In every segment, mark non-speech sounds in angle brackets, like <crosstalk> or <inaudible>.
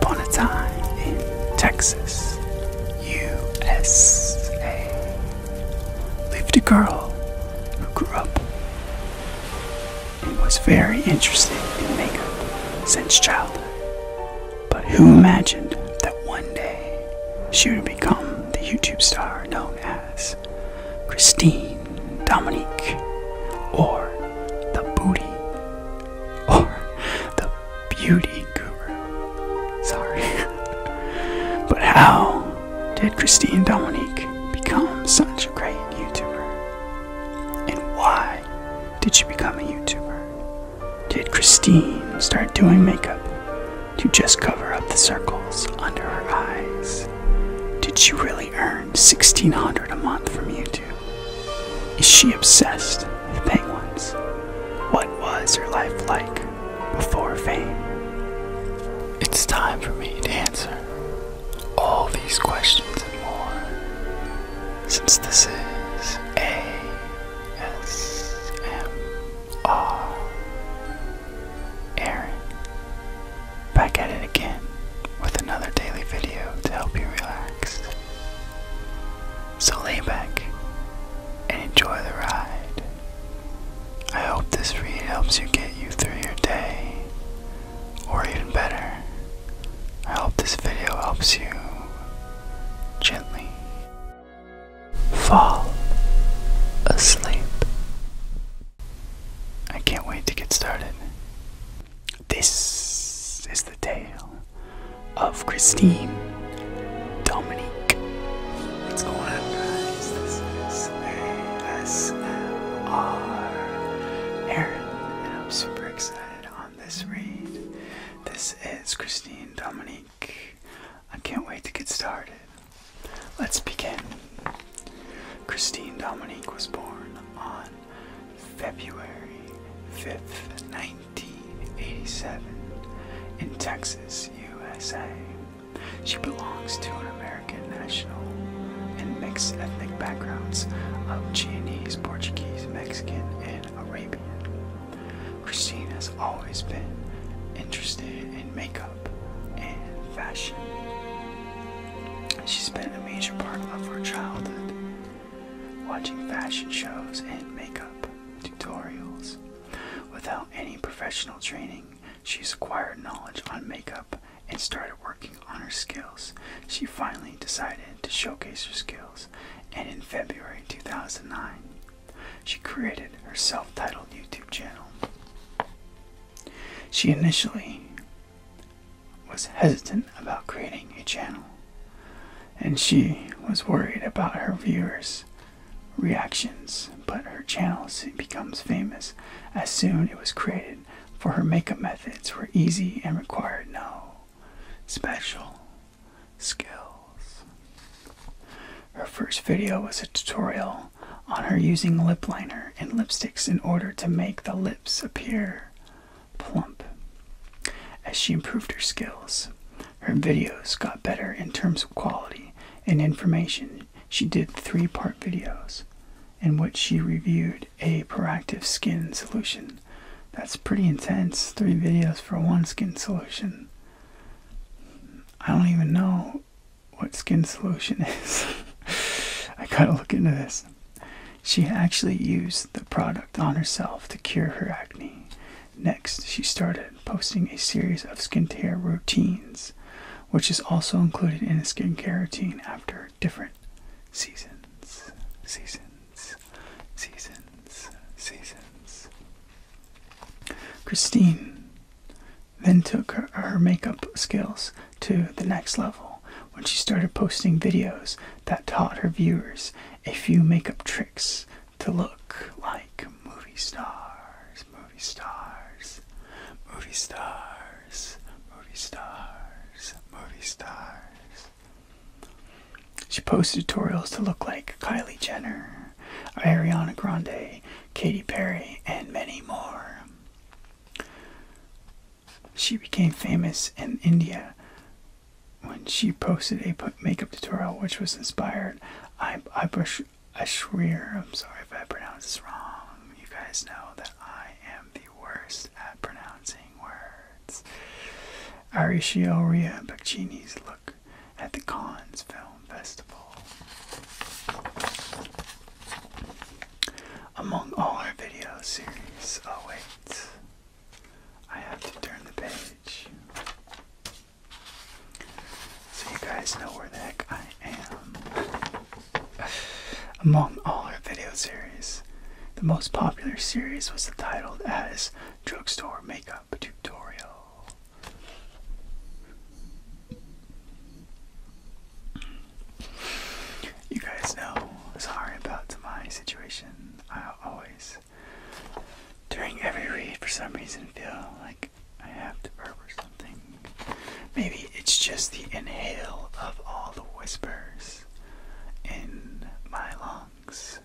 Upon a time in Texas, USA, lived a girl who grew up and was very interested in makeup since childhood. But who imagined that one day she would become the YouTube star known as? Christine Dominique or the Booty or the Beauty Guru. Sorry. <laughs> but how did Christine Dominique become such a great YouTuber? And why did she become a YouTuber? Did Christine start doing makeup to just cover up the circles under her eyes. Did she really earn 1600 a month from YouTube? Is she obsessed with penguins? What was her life like before fame? It's time for me to answer all these questions and more, since this is ASMR are Aaron. Back at it again with another daily video to help you relax. So lay back and enjoy the ride. I hope this read helps you get you through your day, or even better, I hope this video helps you gently fall asleep. I can't wait to get started. This is the tale of Christine Dominique. What's going on, guys? This is ASMR Aaron, and I'm super excited on this read. This is Christine Dominique. I can't wait to get started. Let's begin. Christine Dominique was born on February 5th, 1987, in Texas, USA. She belongs to an American national and mixed ethnic backgrounds of Chinese, Portuguese, Mexican, and Arabian. Christine has always been interested in makeup and fashion. She spent a major part of her childhood watching fashion shows and makeup tutorials. Without any professional training, she's acquired knowledge on makeup and started working on her skills. She finally decided to showcase her skills, and in February 2009, she created her self titled YouTube channel. She initially was hesitant about creating a channel, and she was worried about her viewers' reactions. But her channel soon becomes famous as soon it was created, for her makeup methods were easy and required no special skills. Her first video was a tutorial on her using lip liner and lipsticks in order to make the lips appear plump. As she improved her skills, her videos got better in terms of quality and information. She did three part videos in which she reviewed a proactive skin solution. That's pretty intense, three videos for one skin solution. I don't even know what skin solution <laughs> is. I gotta look into this. She actually used the product on herself to cure her acne. Next, she started posting a series of skincare routines, which is also included in a skincare routine after different seasons. Seasons, seasons, seasons. Christine then took her, makeup skills to the next level when she started posting videos that taught her viewers a few makeup tricks to look like movie stars, movie stars, movie stars, movie stars, movie stars. She posts tutorials to look like Kylie Jenner, Ariana Grande, Katy Perry, and many more. She became famous in India when she posted a makeup tutorial which was inspired I Ibush Ashrir. I'm sorry if I pronounce this wrong. You guys know that I am the worst at pronouncing amazing words. Arichioria Bacchini's look at the Cannes Film Festival. Among all our video series, oh wait, I have to turn the page. So you guys know where the heck I am. Among all our video series, the most popular series was titled as drugstore makeup tutorial. You guys know, sorry about my situation. I always, during every read, for some reason feel like I have to burp or something. Maybe it's just the inhale of all the whispers in my lungs.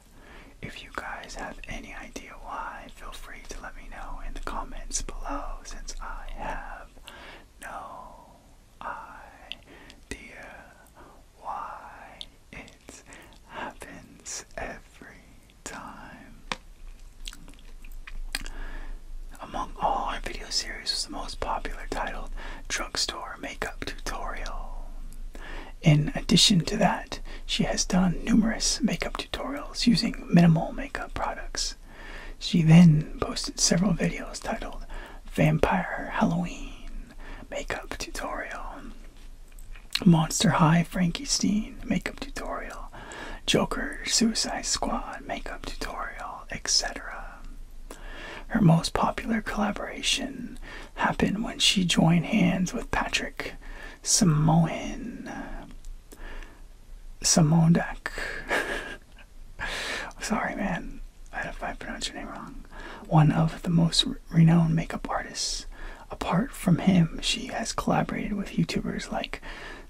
If you guys have any idea why, feel free to let me know in the comments below since I have no idea why it happens every time. Among all our video series was the most popular titled drugstore makeup tutorial. In addition to that, she has done numerous makeup tutorials using minimal makeup products. She then posted several videos titled Vampire Halloween Makeup Tutorial, Monster High Frankenstein Makeup Tutorial, Joker Suicide Squad Makeup Tutorial, etc. Um, her most popular collaboration happened when she joined hands with Patrick Samoan Samondak. <laughs> Sorry, man, I pronounced your name wrong. One of the most renowned makeup artists. Apart from him, she has collaborated with YouTubers like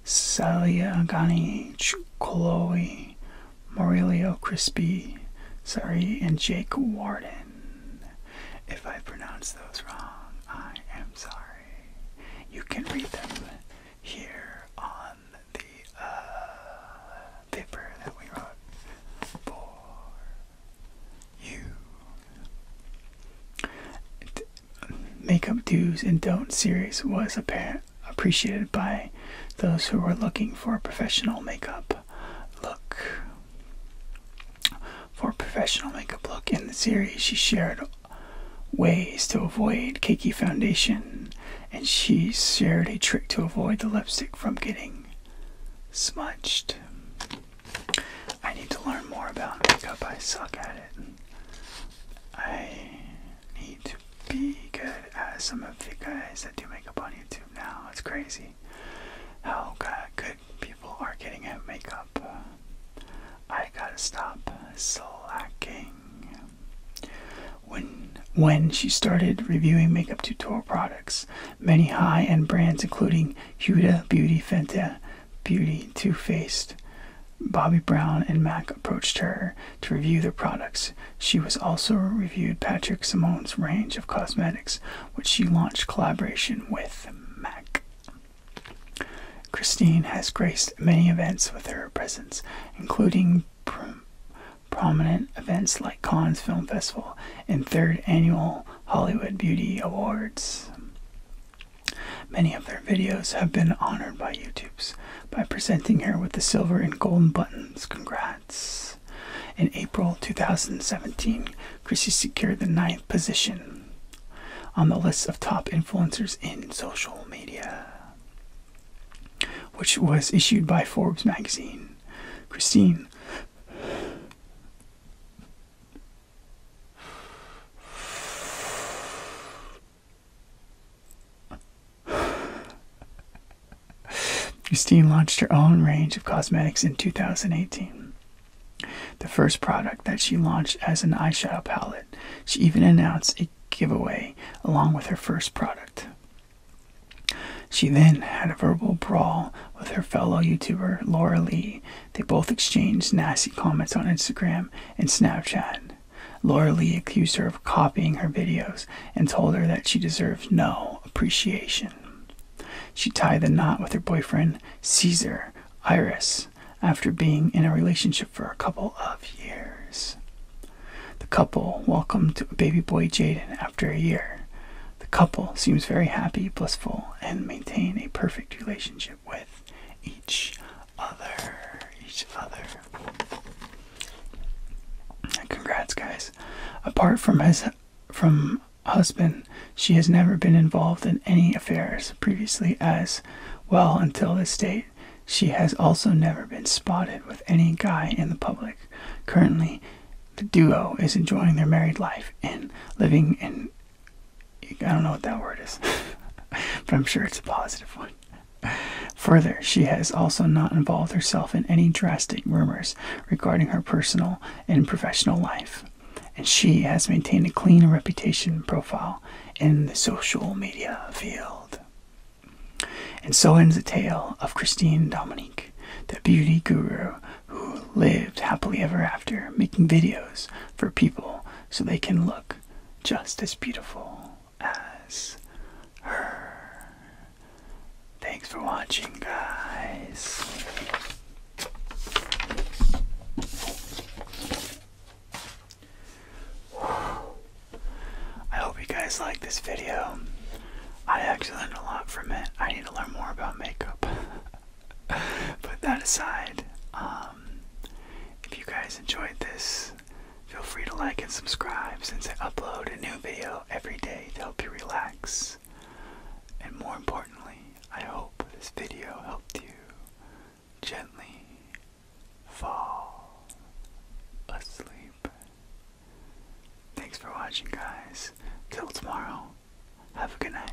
Celia Gani, Chloe Mauricio Crispy, sorry, and Jake Warden. If I pronounce those wrong, I am sorry. You can read them here on the uh, paper that we wrote for you. Makeup do's and don't series was apparent appreciated by those who are looking for a professional makeup look. For a professional makeup look in the series, she shared ways to avoid cakey foundation, and she shared a trick to avoid the lipstick from getting smudged. I need to learn more about makeup. I suck at it. I need to be good as some of the guys that do makeup on YouTube now. It's crazy how good people are getting at makeup. Uh, I gotta stop slacking. When when she started reviewing makeup tutorial products, many high-end brands including Huda Beauty, Fenta Beauty, Too Faced, Bobby Brown, and MAC approached her to review their products. She was also reviewed Patrick Simone's range of cosmetics, which she launched collaboration with MAC. Christine has graced many events with her presence, including prominent events like Cannes Film Festival and third annual Hollywood Beauty Awards. Many of their videos have been honored by YouTube by presenting her with the silver and golden buttons. Congrats. In April 2017, Chrissy secured the ninth position on the list of top influencers in social media, which was issued by Forbes magazine. Christine Christine <sighs> launched her own range of cosmetics in 2018. The first product that she launched as an eyeshadow palette. She even announced a giveaway along with her first product. She then had a verbal brawl with her fellow YouTuber Laura Lee. They both exchanged nasty comments on Instagram and Snapchat. Laura Lee accused her of copying her videos and told her that she deserved no appreciation. She tied the knot with her boyfriend Caesar Iris after being in a relationship for a couple of years. The couple welcomed a baby boy Jaden after a year. The couple seems very happy, blissful, and maintain a perfect relationship with each other, each other. Congrats, guys. Apart from his from husband, she has never been involved in any affairs previously as well until this date. She has also never been spotted with any guy in the public. Currently, the duo is enjoying their married life and living in I don't know what that word is, <laughs> but I'm sure it's a positive one. Further, she has also not involved herself in any drastic rumors regarding her personal and professional life, and she has maintained a clean reputation profile in the social media field. And so ends the tale of Christine Dominique, the beauty guru who lived happily ever after, making videos for people so they can look just as beautiful as her. Thanks for watching, guys. I hope you guys like this video. I actually learned a lot from it. I need to learn more about makeup. Put <laughs> that aside. Um, um, if you guys enjoyed this, feel free to like and subscribe since I upload a new video every day to help you relax. And more importantly, I hope this video helped you gently fall asleep. Thanks for watching, guys. Till tomorrow, have a good night.